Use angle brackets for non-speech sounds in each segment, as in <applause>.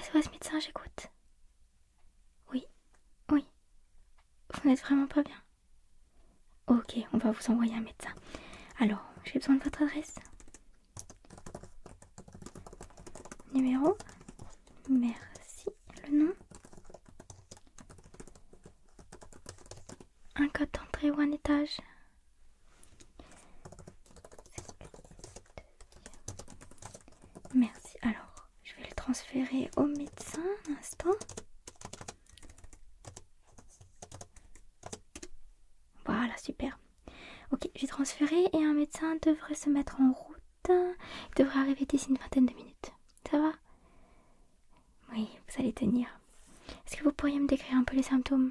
SOS médecin, j'écoute. Oui, oui. Vous n'êtes vraiment pas bien. Ok, on va vous envoyer un médecin. Alors, j'ai besoin de votre adresse. Numéro. Merci. Le nom. Un code d'entrée ou un étage. Merci. Alors, je vais le transférer au médecin un instant. Voilà, super. Ok, j'ai transféré et un médecin devrait se mettre en route. Il devrait arriver d'ici une vingtaine de minutes. Ça va Oui, vous allez tenir. Est-ce que vous pourriez me décrire un peu les symptômes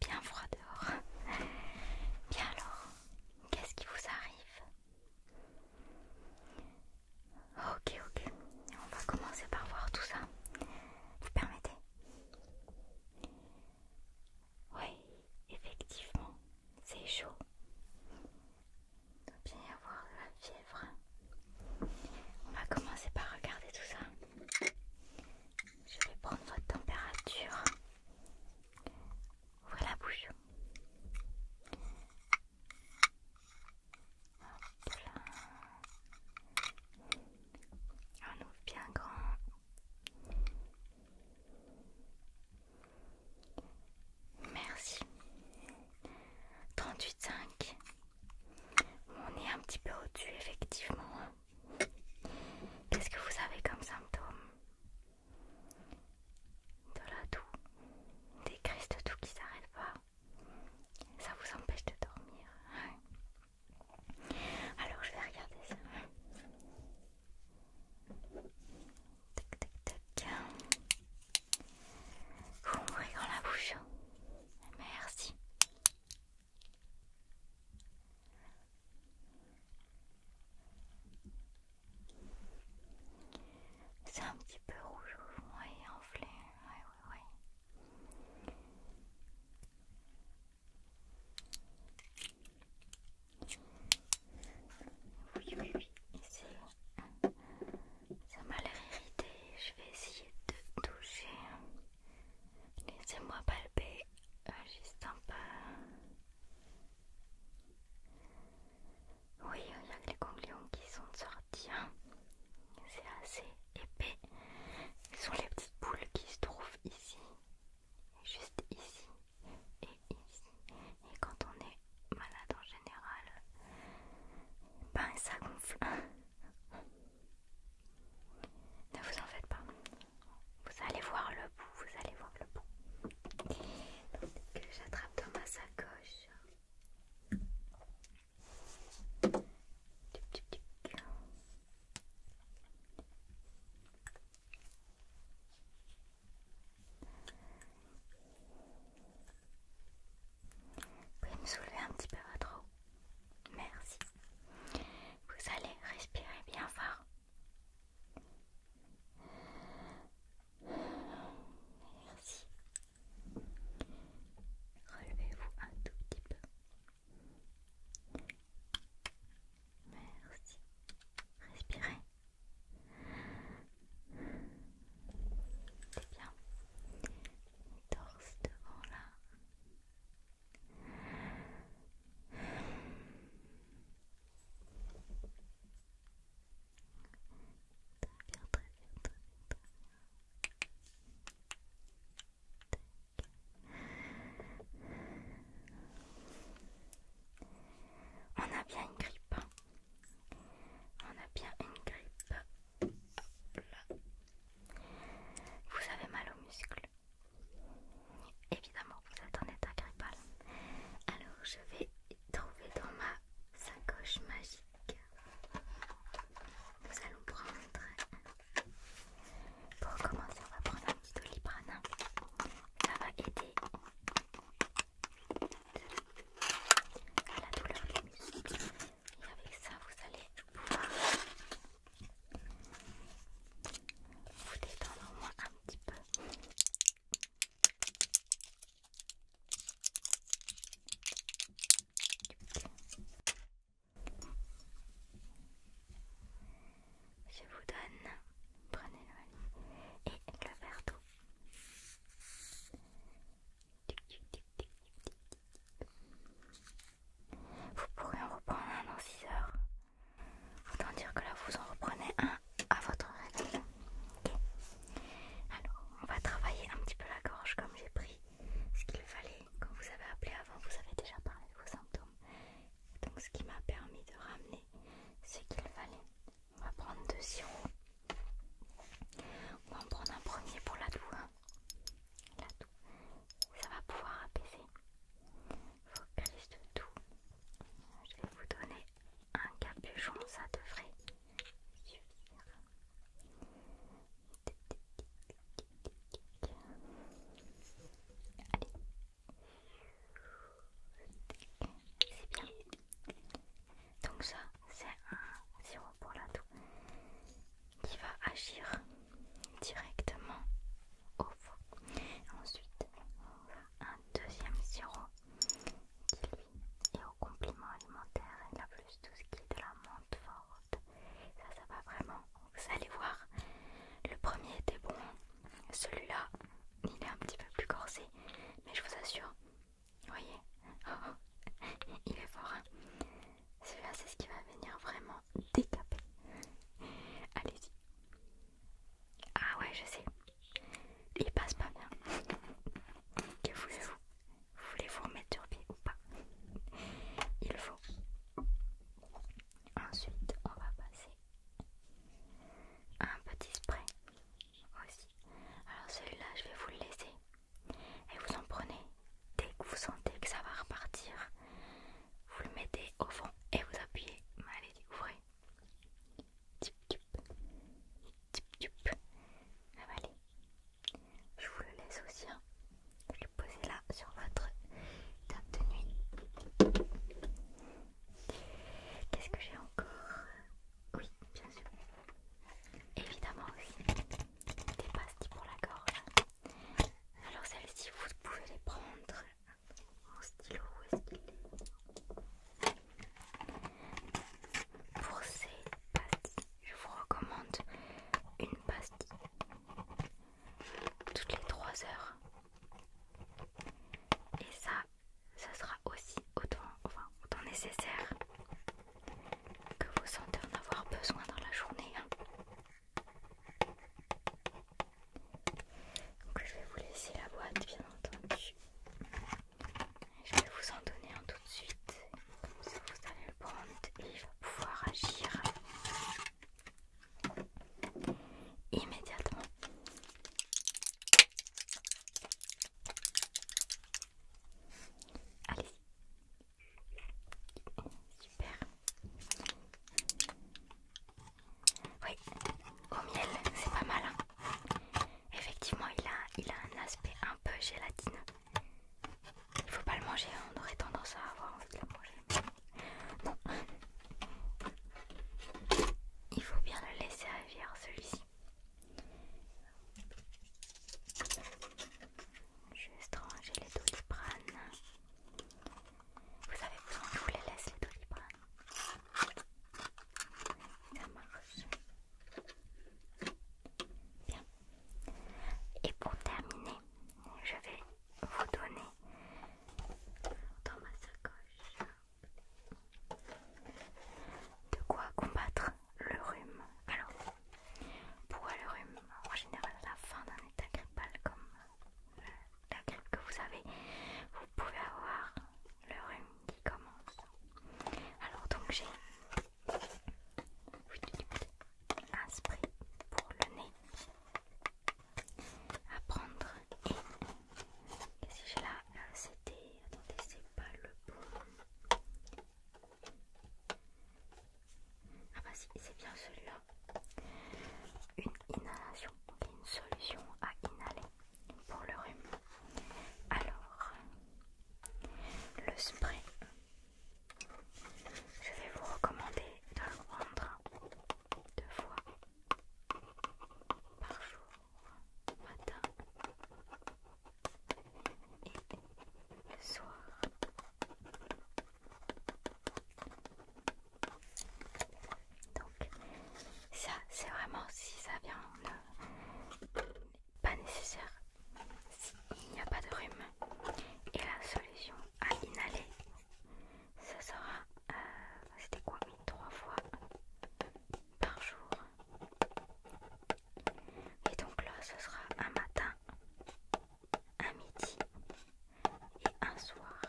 bien froid dehors. <laughs> Bien alors, qu'est-ce qui vous arrive Ok, ok. On va commencer par voir tout ça. Vous permettez Oui, effectivement, c'est chaud. Il doit bien y avoir de la fièvre. On va commencer par regarder tout ça. Je vais prendre votre température. Ouvrez la bouche. Hop là. On ouvre bien grand. Merci. 38,5. On est un petit peu au-dessus, effectivement. Hein. Qu'est-ce que vous avez comme symptôme De la des crises de toux qui s'arrêtent pas. Ça vous empêche de dormir. Alors je vais regarder ça. Tac tac tac. Vous ouvrez grand la bouche. Merci. C'est un petit peu rouge au enflé, oui, oui, oui. Oui, oui, oui, ça m'a l'air irrité. Je vais essayer de toucher. Laissez-moi palper euh, juste un peu. Oui, a les ganglions qui sont sortis. Hein. C'est assez épais. Ce sont les petites boules qui se trouvent ici. Juste ici et ici. Et quand on est malade en général, ben ça gonfle. <laughs> Ne vous en faites pas, vous allez voir le bout, vous allez voir le bout. Que j'attrape dans ma sacoche. Vous pouvez me soulever un petit peu votre haut. Merci. Vous allez respirer bien fort. Merci. Relevez-vous un tout petit peu. Merci. Respirez. C'est bien. Torse devant là. On a bien une grippe. On a bien une grippe. Vous avez mal aux muscles. Évidemment, vous êtes en état grippal. Alors, je vais trouver dans ma sacoche magique. Nous allons prendre. Pour commencer, on va prendre un petit doliprane. Ça va aider à la douleur du muscle Et avec ça, vous allez pouvoir vous détendre au moins un petit peu. Je vous donne, prenez le et le verre d'eau. Vous pourrez en reprendre un dans 6 heures. Autant dire que là, vous en reprenez un à votre Alors, on va travailler un petit peu la gorge comme j'ai pris ce qu'il fallait. Quand vous avez appelé avant, vous avez déjà parlé de vos symptômes. Donc, ce qui m'a permis de ramener ce qu'il fallait. On va prendre deux sirops. On va en prendre un premier pour la doux hein. La ça va pouvoir apaiser vos crises de tout. Je vais vous donner un capuchon, ça devrait suffire. Allez. C'est bien. Donc ça, c'est un sirop pour la toux qui va agir directement au fond. Ensuite, un deuxième sirop qui lui est au compliment alimentaire et là plus tout ce qui est de la menthe forte. Ça, ça va vraiment. Vous allez voir, le premier était bon, celui-là, il est un petit peu plus corsé, mais je vous assure, vous voyez, <laughs> il est fort. Hein. Celui-là, c'est ce qui va venir vraiment décaper. Allez-y. Ah ouais, je sais. Il passe pas bien. que voulez-vous Vous voulez vous remettre sur pied ou pas Il faut. Ensuite, on va passer un petit spray aussi. Alors celui-là, je vais vous le laisser. Et vous en prenez dès que vous sentez que ça va repartir, vous le mettez au fond et vous appuyez. Bah, allez, ouvrez. Tip ah, bah, Je vous le laisse aussi. Vous le posez là sur votre table de nuit. Qu'est-ce que j'ai encore Oui, bien sûr. Évidemment aussi des pastilles pour la gorge. Alors celles-ci, vous pouvez les prendre en stylo. Où est Pour ces pastilles, je vous recommande une pastille toutes les 3 heures. Et ça, ça sera aussi autant, enfin, autant nécessaire que vous sentez en avoir besoin dans la journée. Hein. Donc je vais vous laisser la boîte bien entendu. Je vais vous en donner un tout de suite. Comme ça vous allez le prendre et il va pouvoir agir immédiatement. Allez, Super. Oui, au miel, c'est pas mal. Hein. Effectivement, il a, il a un aspect un peu gélatine, Il faut pas le manger, hein, on aurait tendance à avoir envie de le manger. Non. Il faut bien le laisser vivre celui-ci. Juste ranger les doliprane. Vous savez, que je vous les laisse les doliprane. Ça marche. Bien. Et pour terminer, je vais vous donner dans ma sacoche de quoi combattre le rhume. Alors, pour le rhume En général, à la fin d'un état grippal comme euh, la grippe que vous avez, vous pouvez avoir le rhume qui commence. Alors donc j'ai un spray pour le nez à prendre et qu'est-ce que j'ai là euh, C'était, attendez, c'est pas le bon. Ah bah si, c'est bien celui-là. Une inhalation, une solution à inhaler pour le rhume. Alors, le spray, je vais vous recommander de le prendre deux fois par jour, matin et soir. Donc ça c'est vraiment si ça vient pas nécessaire. Il n'y a pas de rhume. Et la solution à inhaler, ce sera euh, c'était quoi fois par jour. Et donc là ce sera un matin un midi et un soir.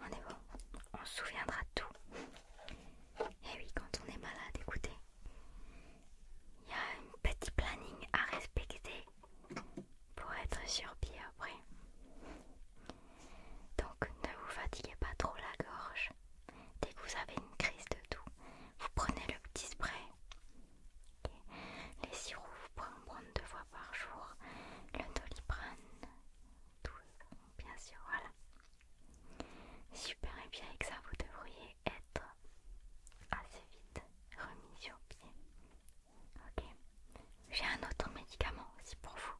On est bon, on se souviendra de tout. Et oui, quand on est malade, écoutez, il y a un petit planning à respecter pour être sur pied après. Donc ne vous fatiguez pas trop la gorge. Dès que vous avez une crise de tout, vous prenez le petit spray. Les sirops, vous prenez en prendre deux fois par jour. Le doliprane, bien sûr, voilà. Super, et bien avec ça, vous devriez être assez vite remis sur pied. Ok. J'ai un autre médicament aussi pour vous.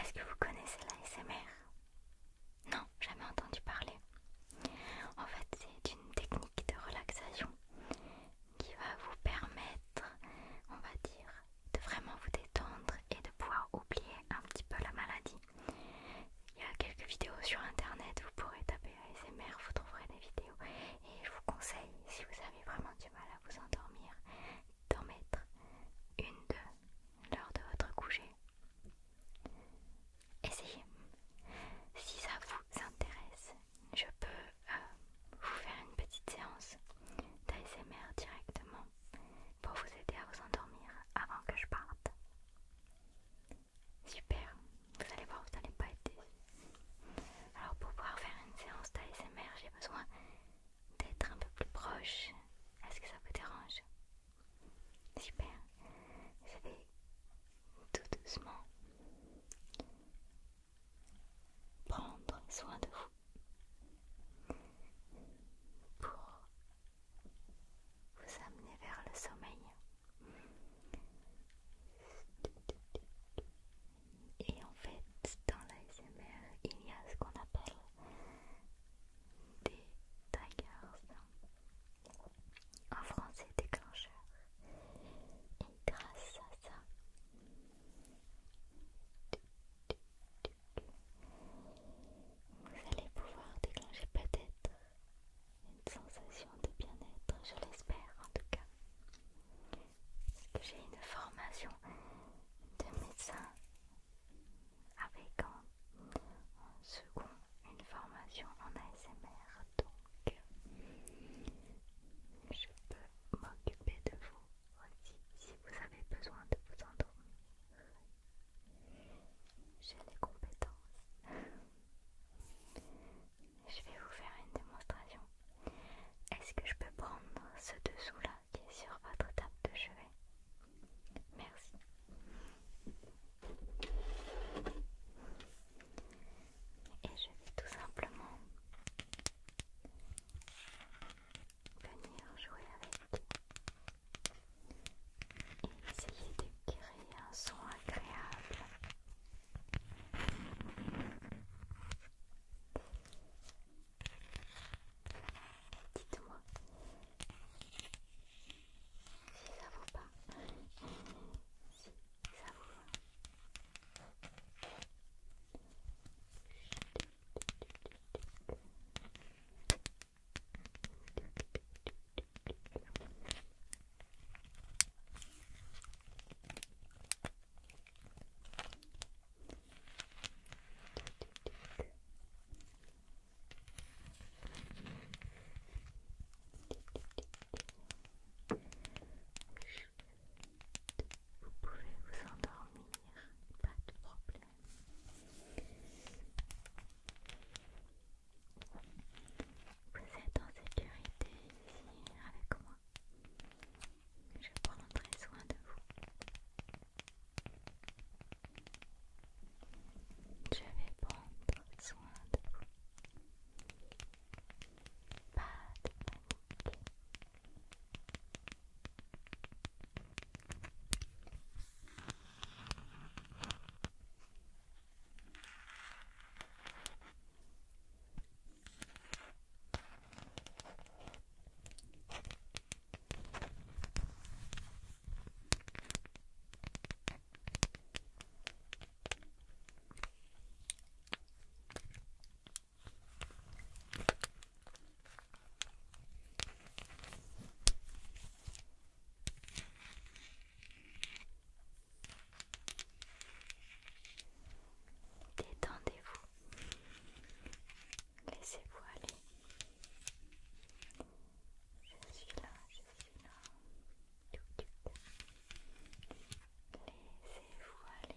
Est-ce que vous connaissez l'ASMR Non, jamais entendu parler. En fait, c'est une technique de relaxation qui va vous permettre, on va dire, de vraiment vous détendre et de pouvoir oublier un petit peu la maladie. Il y a quelques vidéos sur internet, vous pourrez taper ASMR, vous trouverez des vidéos et je vous conseille, si vous avez vraiment du mal à vous endormir, d'en mettre une, deux, ...lors de votre coucher. Essayez. Si ça vous intéresse, je peux euh, vous faire une petite séance d'ASMR directement pour vous aider à vous endormir avant que je parte. Super, vous allez voir, vous n'allez pas être Alors pour pouvoir faire une séance d'ASMR, j'ai besoin d'être un peu plus proche. Est-ce que ça vous dérange Super. Je vais tout doucement prendre soin de vous pour vous amener vers le sommeil. Et en fait, dans l'ASMR, il y a ce qu'on appelle des Tigers en français déclencheurs, et grâce à ça vous allez pouvoir déclencher peut-être une sensation de bien-être, je l'espère en tout cas parce que j'ai une formation de médecin avec en, second une formation en ASMR donc je peux m'occuper de vous aussi si vous avez besoin de vous endormir j'ai les compétences je vais vous faire une démonstration est-ce que je peux prendre ce dessous là qui est sur votre table de chevet. Merci. Et je vais tout simplement venir jouer avec et essayer de créer un son agréable. Dites-moi si ça vous pas. Si ça vous va. Vous pouvez vous endormir, pas de problème. Vous êtes en sécurité ici avec moi. Je prendrai soin de vous. Je vais prendre soin de vous. Pas de panique. Détendez-vous. Laissez-vous aller. Je suis là, je suis là. tout vous Laissez-vous aller.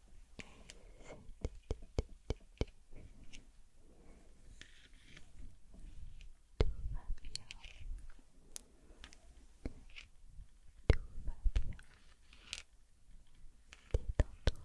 Tout Tout va va bien bien Détends-toi.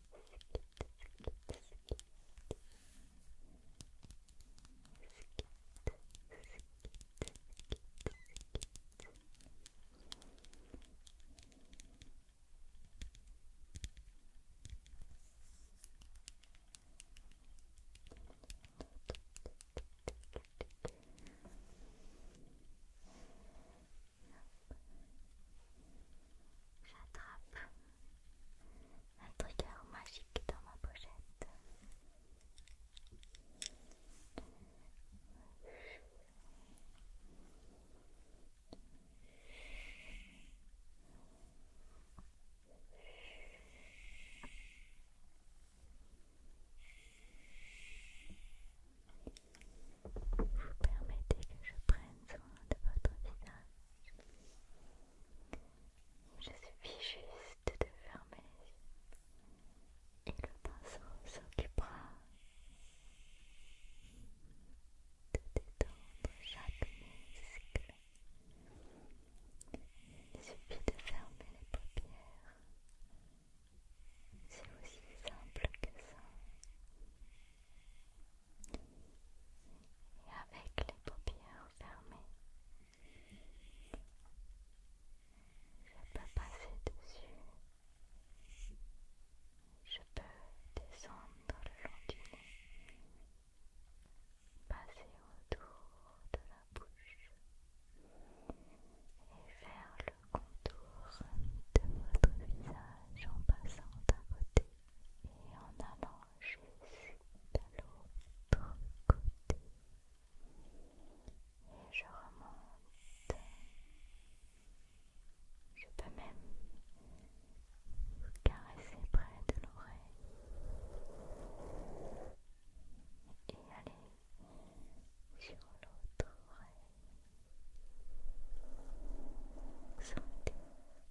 J'attrape un trigger magique dans ma pochette. Vous permettez que je prenne soin de votre visage. Je suffit juste de fermer et le pinceau s'occupera de détendre chaque muscle. Il suffit de fermer les paupières. C'est aussi simple que ça et avec les paupières fermées, je peux passer dessus, je peux descendre le long du nez, passer autour de la bouche et faire le contour de votre visage en passant à côté et en allant jusqu'à l'autre côté. Et je remonte. Je peux même caresser près de l'oreille et aller sur l'autre oreille.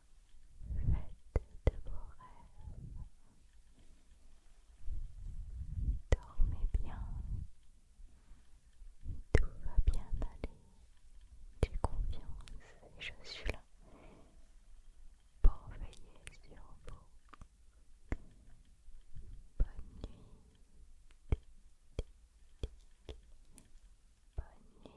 Faites de vos rêves. Dormez bien. Tout va bien aller. J'ai confiance et je suis là pour veiller sur vous. Bonne nuit. Tic, tic, tic. Bonne nuit.